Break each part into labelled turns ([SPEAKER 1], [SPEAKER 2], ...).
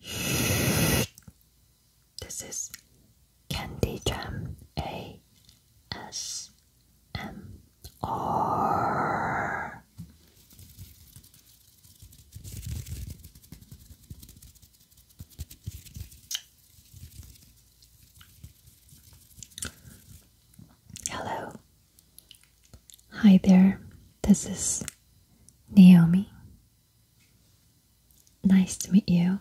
[SPEAKER 1] This is Candy Jam A S M R. Hello. Hi there. This is Naomi Nice to meet you.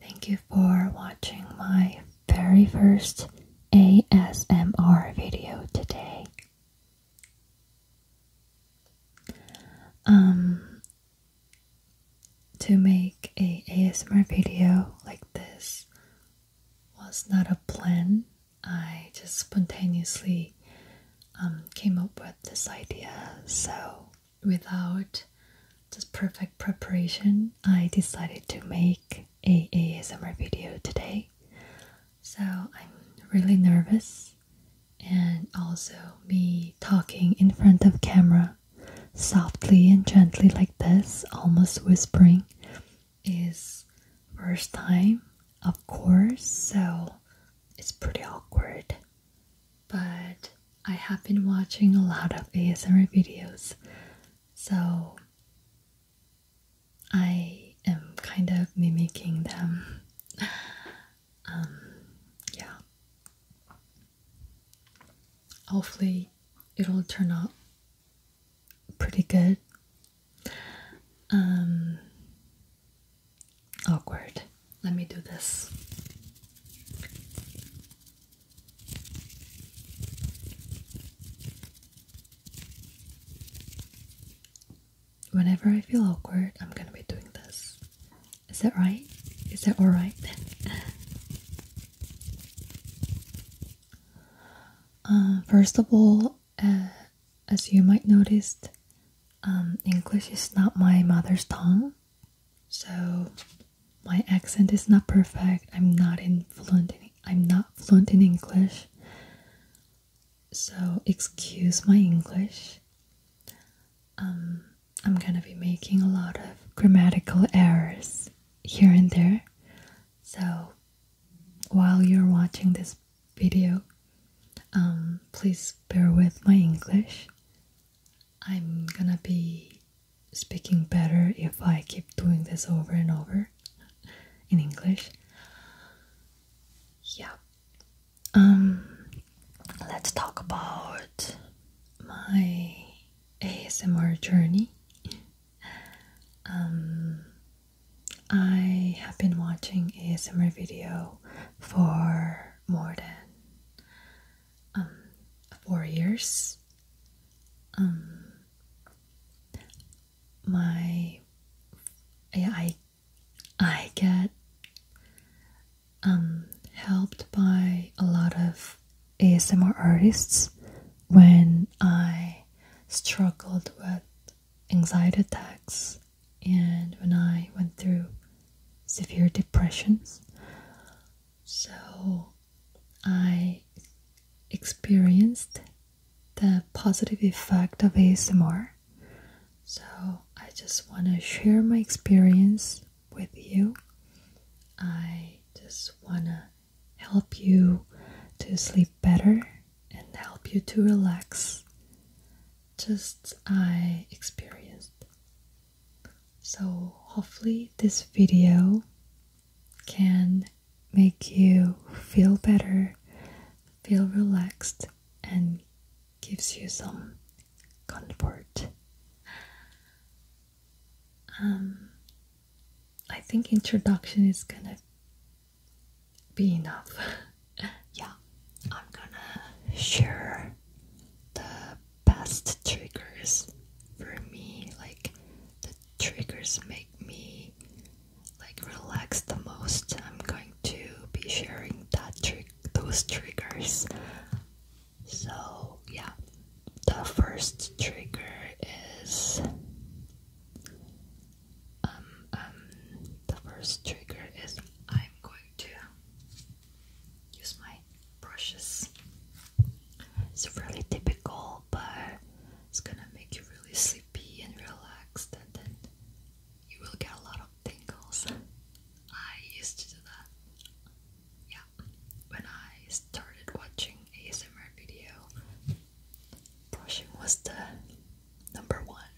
[SPEAKER 1] Thank you for watching my very first ASMR video today. Um to make a ASMR video like this was not a plan I just spontaneously um, came up with this idea. So, without just perfect preparation, I decided to make a ASMR video today. So, I'm really nervous, and also me talking in front of camera softly and gently like this, almost whispering, is first time, of course. So, it's pretty awkward, but I have been watching a lot of ASMR videos, so I am kind of mimicking them. Um, yeah. Hopefully, it'll turn out pretty good. Um, awkward. Let me do this. Whenever I feel awkward, I'm gonna be doing this. Is that right? Is that alright? Uh, first of all, uh, as you might noticed, um, English is not my mother's tongue, so my accent is not perfect. I'm not fluent. In, I'm not fluent in English, so excuse my English. Um, I'm gonna be making a lot of grammatical errors here and there. So while you're watching this video. Um, please bear with my English. I'm gonna be speaking better if I keep doing this over and over in English. Yeah. Um, let's talk about my ASMR journey. Um, I have been watching ASMR video for more than um, four years. Um, my yeah, I I get um, helped by a lot of ASMR artists when I struggled with anxiety attacks and when I went through severe depressions. So I experienced the positive effect of ASMR. So I just want to share my experience with you. I just want to help you to sleep better and help you to relax, just I experienced. So, hopefully, this video can make you feel better, feel relaxed, and gives you some comfort. Um, I think introduction is gonna be enough. yeah, I'm gonna share the best triggers for me. Like, the triggers make me like relax the most. I'm going to be sharing that trick, those triggers. So, yeah, the first trigger is um, um, the first trigger is I'm going to use my brushes. It's really typical, but it's gonna make you really sleepy and relaxed, and then you will get a lot of tingles. I used to do that. Yeah, when I started watching ASMR video, brushing was the number one.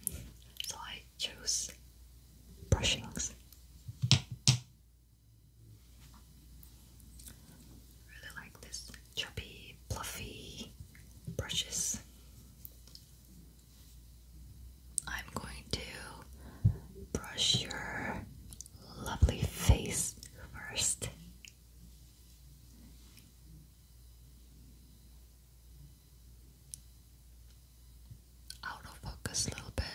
[SPEAKER 1] So I choose brushings. Really like this chubby, fluffy brushes. I'm going to brush your lovely face first out of focus a little bit.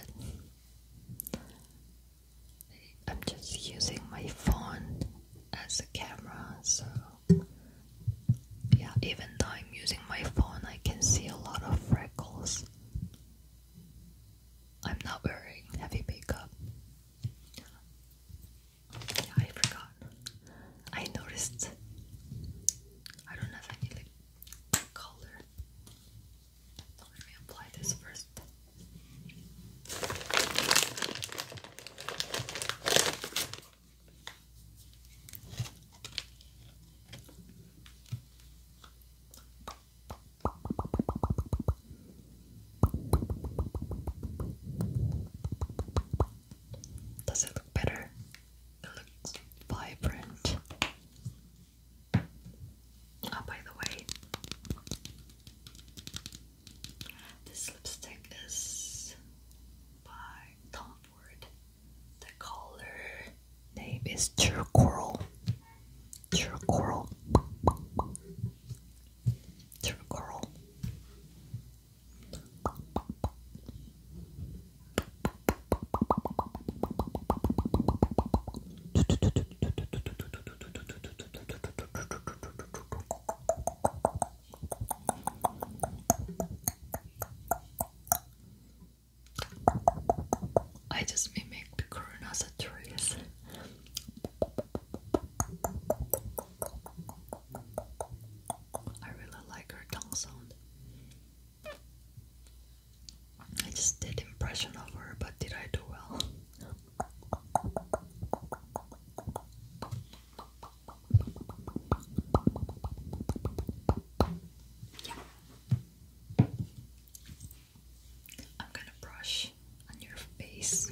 [SPEAKER 1] I'm just using my phone as a camera, so yeah, even though I'm using my phone, I can see a lot of freckles. I'm not wearing heavy makeup. Yeah, I forgot I noticed I don't have any like color. Let me apply this first. Does it look better? It looks vibrant. Oh, by the way, this lipstick is by Tom Ford. The color name is True Coral. True Coral. True Coral. I just mimicked Corona's trees. I really like her tongue sound. I just did impression of her, but did I do well? I'm gonna brush on your face.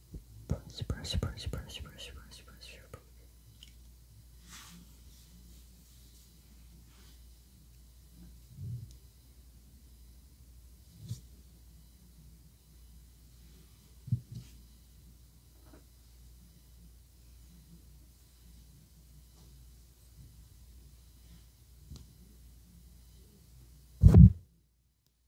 [SPEAKER 1] Brush, brush, brush, brush, brush, brush, brush your brush.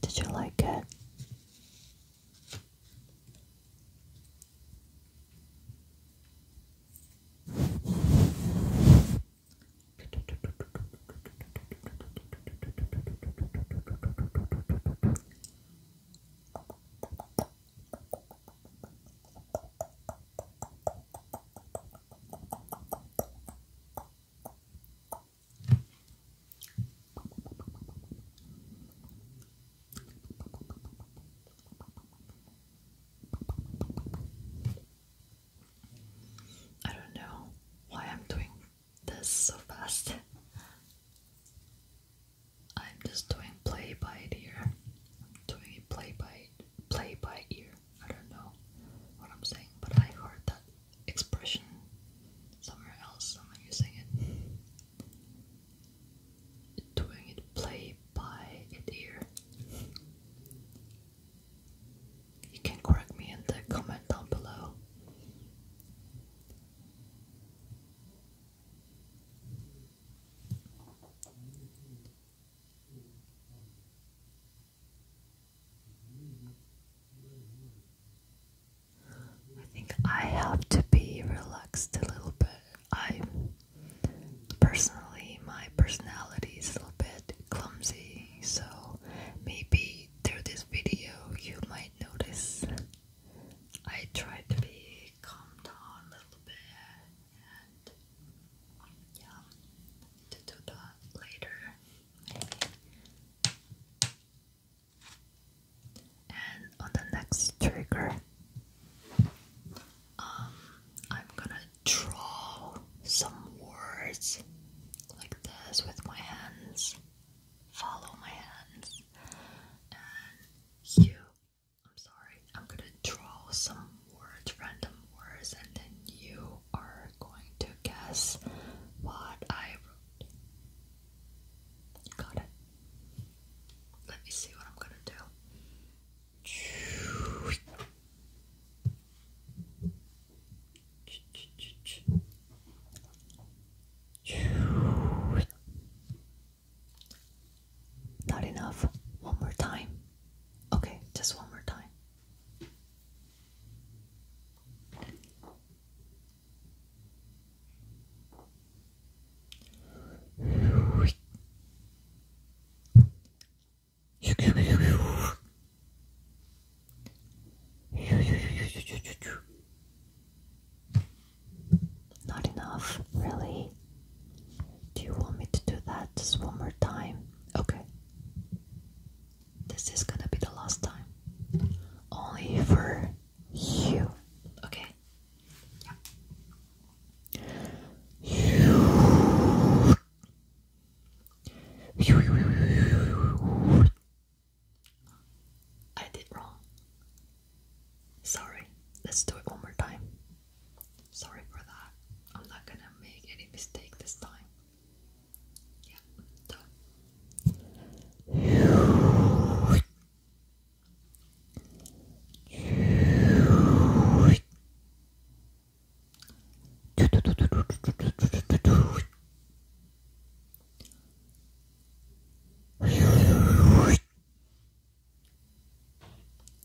[SPEAKER 1] Did you like it? I don't know why I'm doing this so fast. I'm just doing play by ear. I'm doing it play by play by ear. I don't know what I'm saying, but I heard that expression somewhere else. I using it, doing it play by ear. You can correct me in the comment down below. I think I have to be relaxed a little bit. I personally, my personality is a little bit clumsy, so maybe through this video you might notice I tried to be calmed down a little bit and yeah, to do that later And on the next trigger, um, I'm gonna draw some words like this with my hands. Follow my hands, you. I'm sorry, I'm gonna draw some words, random words, and then you are going to guess what I wrote. Got it? Let me see what I'm gonna do. Ch -ch -ch not enough. One more time. Okay, just one more time. Not enough, really? Do you want me to do that just one more time? Okay. This is gonna be the last time. Only for you. Okay? Yeah. I did wrong. Sorry. Let's do it one more time. Sorry for that. I'm not gonna make any mistake this time. Yeah, done.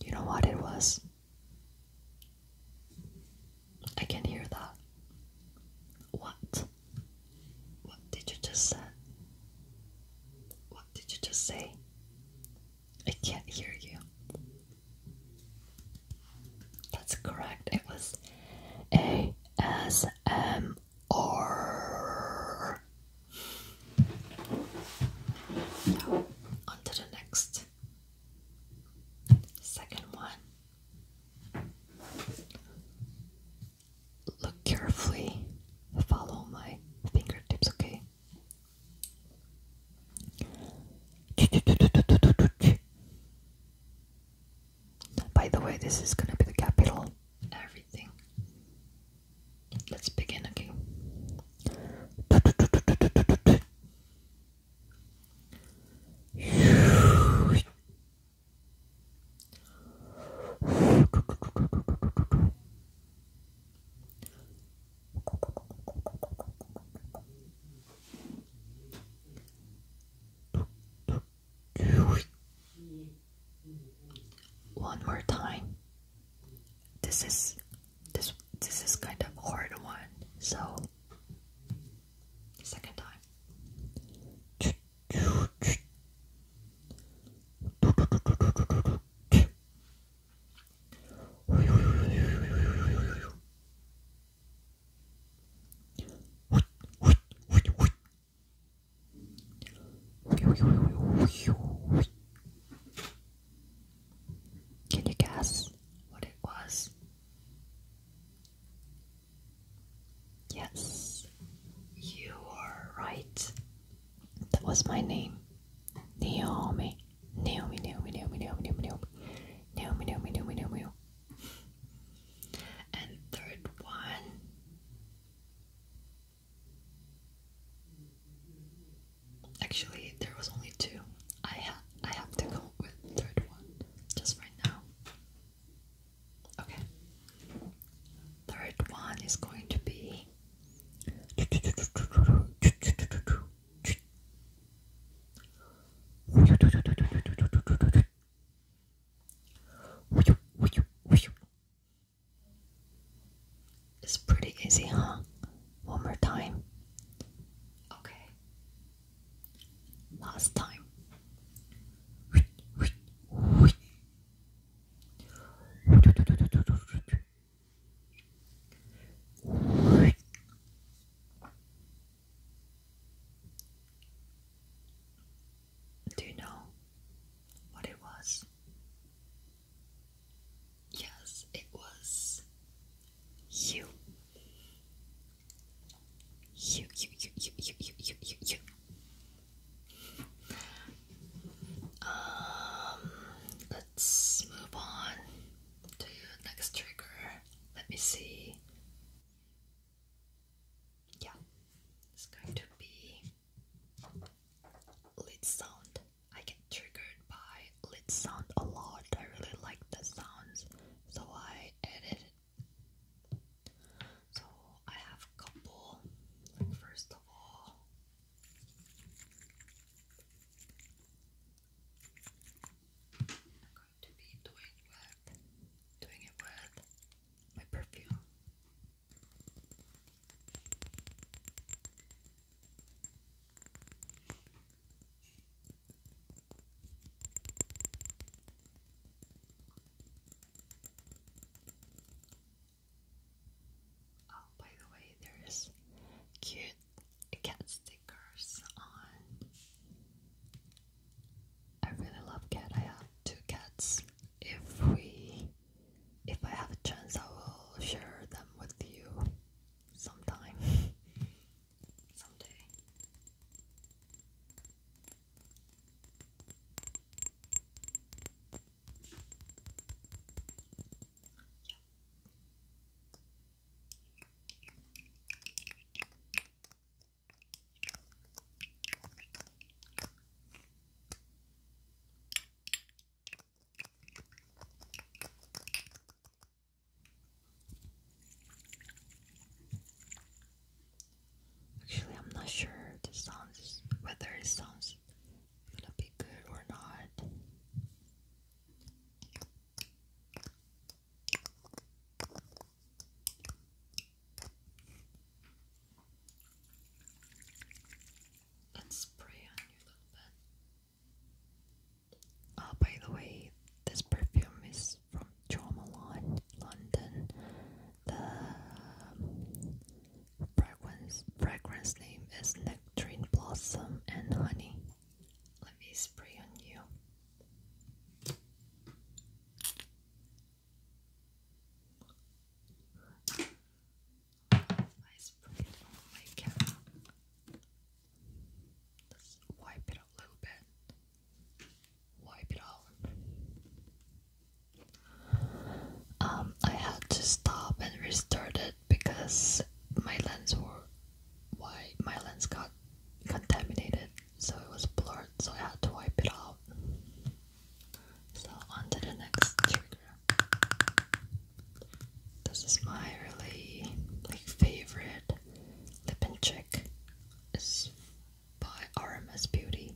[SPEAKER 1] You know what it was? I can not hear that. What? What did you just say? What did you just say? I can't hear you. That's correct. It was A S M R now, on to the next second one. Look carefully, follow my fingertips, okay? By the way, this is gonna be the capital. Let's begin, okay? one more time. This is this this is kind of hard one. So second time. Can you guess what it was? Yes, you are right. That was my name. Naomi. Naomi, Naomi, Naomi, Naomi, Naomi, Naomi. Naomi, Naomi, Naomi, And third one Actually, there was only two. I ha I have to go with third one just right now. Okay. Third one is going to be it's pretty easy, huh? One more time. Okay. Last time. Do you know what it was? Yes, it was you. You, you, you, you, you, you, you, you, Um, let's move on to next trigger. Let me see. Yeah, it's going to be lid sound. I get triggered by lid sound a lot. I really like the sounds, so I edit So I have a couple. Like first of all. I'm going to be doing with doing it with my perfume. Oh, by the way, there is cute cat stickers on. I really love cat. I have two cats. If we if I have a chance, I will share them with you sometime. Someday. Actually, I'm not sure this sounds whether it sounds gonna be good or not and spray on you a little bit. Oh, by the way, this perfume is from Jo London. The um, fragrance fragrance name is Nectarine Blossom and Honey. Let me spray on you. I spray on my camera. Just wipe it a little bit. Wipe it out. Um, I had to stop and restart it because my lens were why my lens got contaminated, so it was blurred. So I had to wipe it out. So on to the next trigger. This is my really like favorite lip and cheek. It's by RMS Beauty.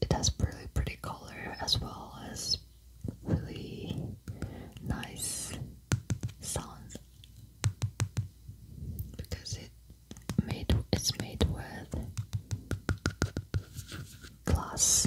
[SPEAKER 1] it has really pretty color as well as really nice sounds because it made it's made with glass.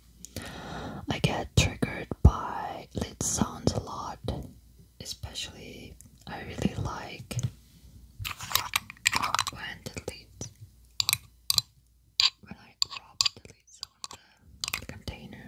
[SPEAKER 1] I get triggered by lit sounds a lot, especially I really like when the lid when I drop the lids on the container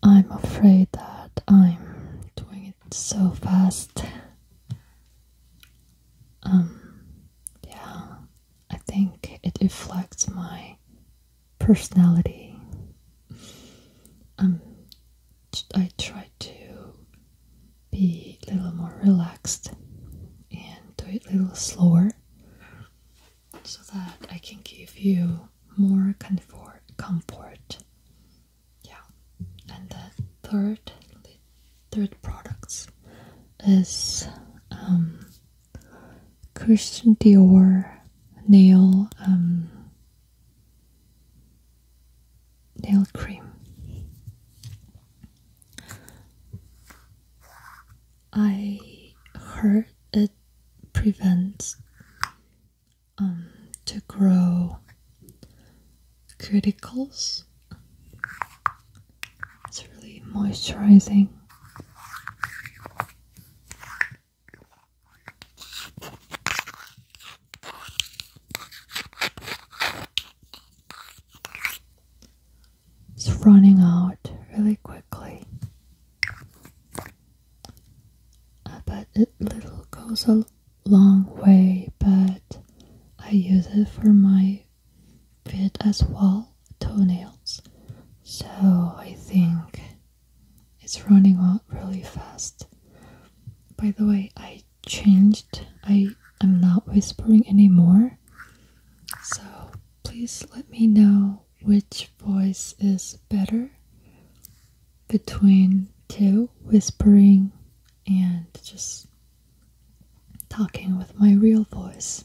[SPEAKER 1] I'm afraid that I'm doing it so fast um, yeah, I think it reflects my personality. Um, I try to be a little more relaxed and do it a little slower so that I can give you more comfort. Yeah, and the third third products is um, Christian Dior nail um, nail cream. I heard it prevents um, to grow Criticals. It's really moisturizing. It's running out really quickly. I bet it little goes a long way, but I use it for my bit as well toenails so I think it's running out really fast by the way I changed I am not whispering anymore so please let me know which voice is better between two whispering and just talking with my real voice.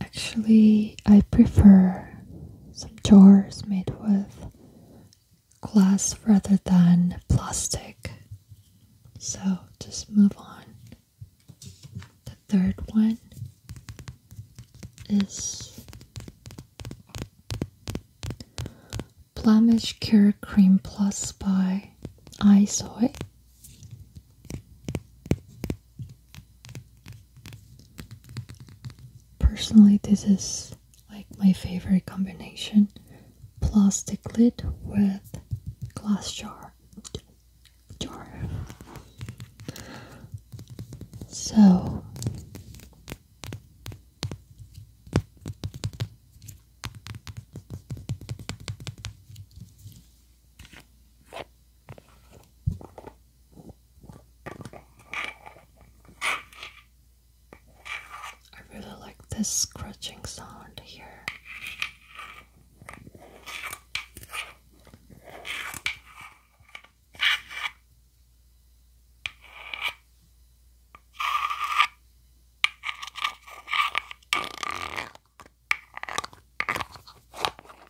[SPEAKER 1] Actually, I prefer some jars made with glass rather than plastic. So just move on. The third one is Blemish Cure Cream Plus by Isoy. Personally, this is like my favorite combination plastic lid with glass jar. jar. So, I really like this scratching sound here.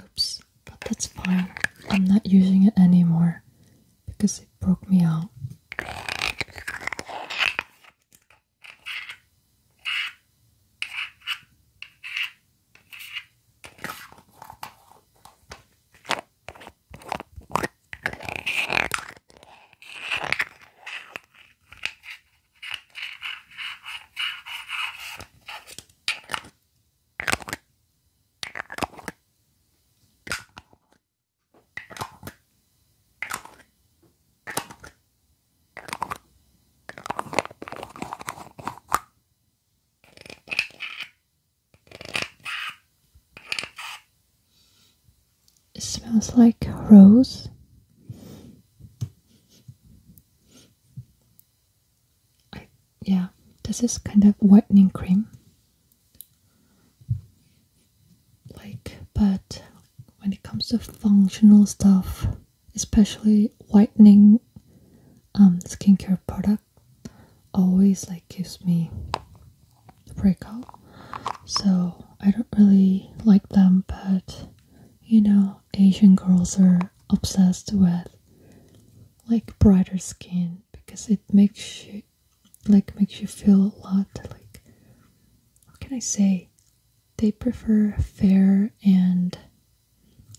[SPEAKER 1] Oops, but that's fine. I'm not using it anymore because it broke me out. It smells like rose yeah, this is kind of whitening cream. Like, but when it comes to functional stuff, especially whitening um, skincare product, always like gives me breakout. So I don't really like them, but you know, Asian girls are obsessed with like brighter skin because it makes you like makes you feel a lot like how can I say they prefer fair and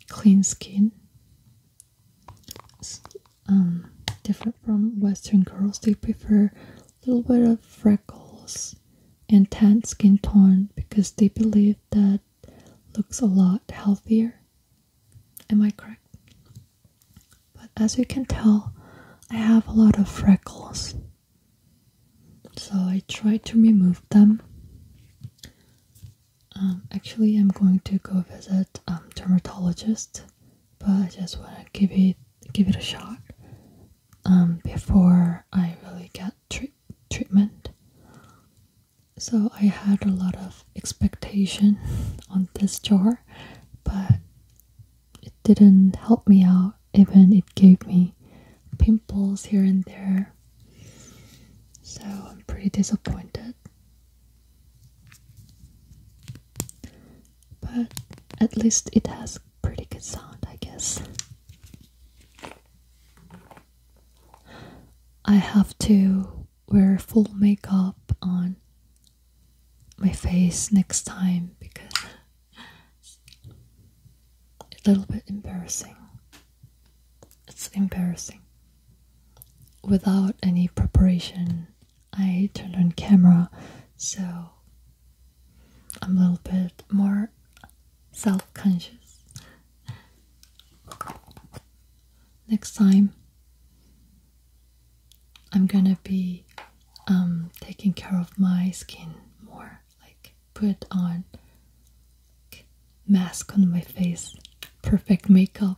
[SPEAKER 1] clean skin um, different from western girls they prefer a little bit of freckles and tan skin tone because they believe that looks a lot healthier. Am I correct? But as you can tell, I have a lot of freckles. So I try to remove them. Um, actually, I'm going to go visit um, dermatologist, but I just want to give it give it a shot um, before I really get treat treatment so I had a lot of expectation on this jar, but it didn't help me out, even it gave me pimples here and there. So I'm pretty disappointed. But at least it has pretty good sound, I guess. I have to wear full makeup on my face next time because it's a little bit embarrassing. It's embarrassing. Without any preparation, I turned on camera, so I'm a little bit more self conscious. Next time, I'm gonna be um, taking care of my skin more, like put on mask on my face, perfect makeup.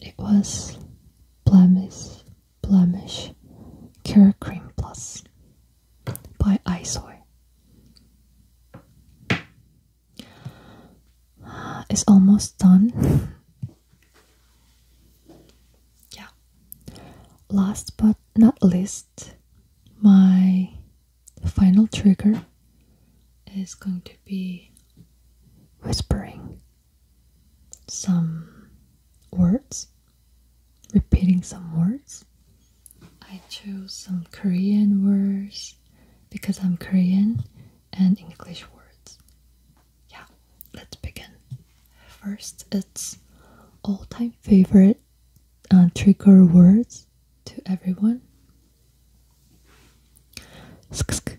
[SPEAKER 1] It was Blemish Blemish Cure Cream Plus by Isoy. It's almost done. yeah. Last but not least, my final trigger is going to be whispering some words, repeating some words. I chose some Korean words because I'm Korean and English words. Yeah, let's begin. First, it's all time favorite uh, trigger words to everyone. Sk -sk,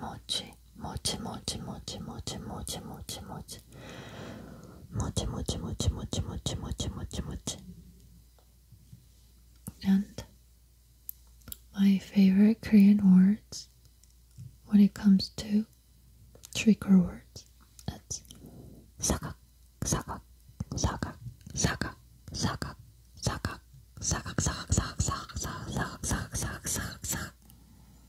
[SPEAKER 1] mochi mochi mochi mochi mochi mochi mochi mochi mochi mochi mochi mochi mochi mochi mochi mochi and my favorite Korean words when it comes to trigger words it's 사각 사각 사각 사각 사각 사각 사각 사각 사각 사각 사각 사각 사각 사각 사각 사각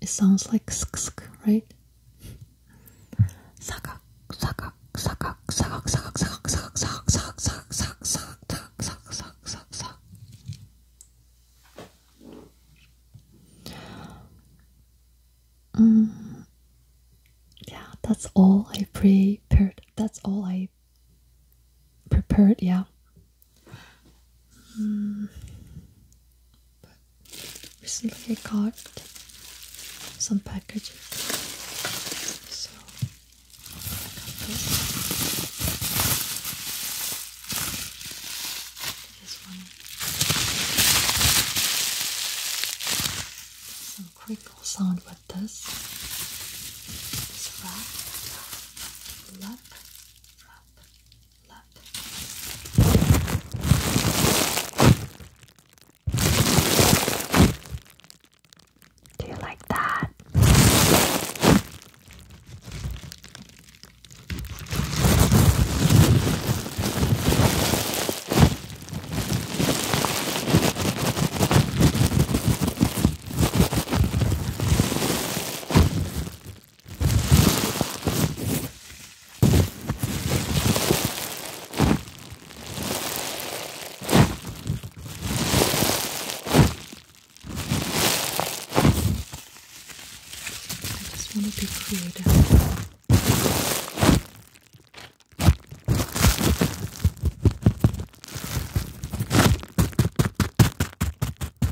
[SPEAKER 1] It sounds like sk, right? Sakak, sakak, sakak, sakak, sakak, sakak, sakak, sakak, sakak, sakak, sakak, sakak, sakak, sakak, sakak. Yeah, that's all I prepared. That's all I prepared yeah but recently I got some packages, so I'm this one some crinkle sound with this this wrap, lap lap, lap. Do you like that? I just want to be creative. I'm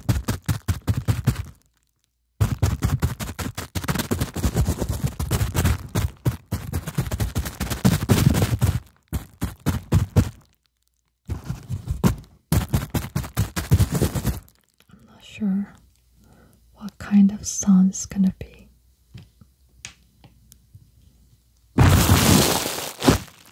[SPEAKER 1] not sure what kind of song it's gonna be.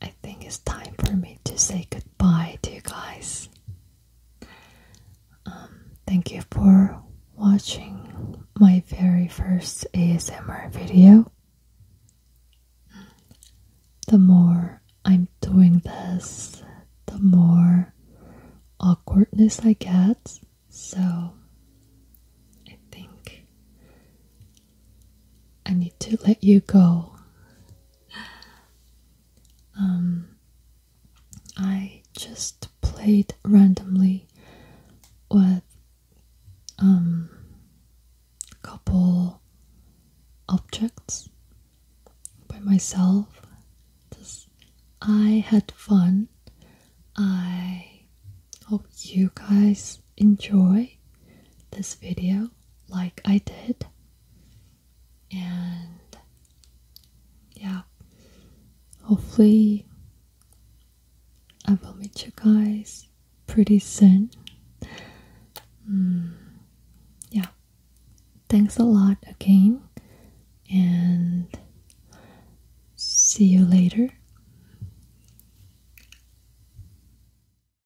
[SPEAKER 1] I think it's time for me to say goodbye to you guys. Um, thank you for watching my very first ASMR video. The more I'm doing this, the more awkwardness I get. So I think I need to let you go um, I just played randomly with um couple objects by myself just I had fun I hope you guys enjoy this video like I did. And yeah, hopefully, I will meet you guys pretty soon. Hmm, yeah, thanks a lot again, and see you later.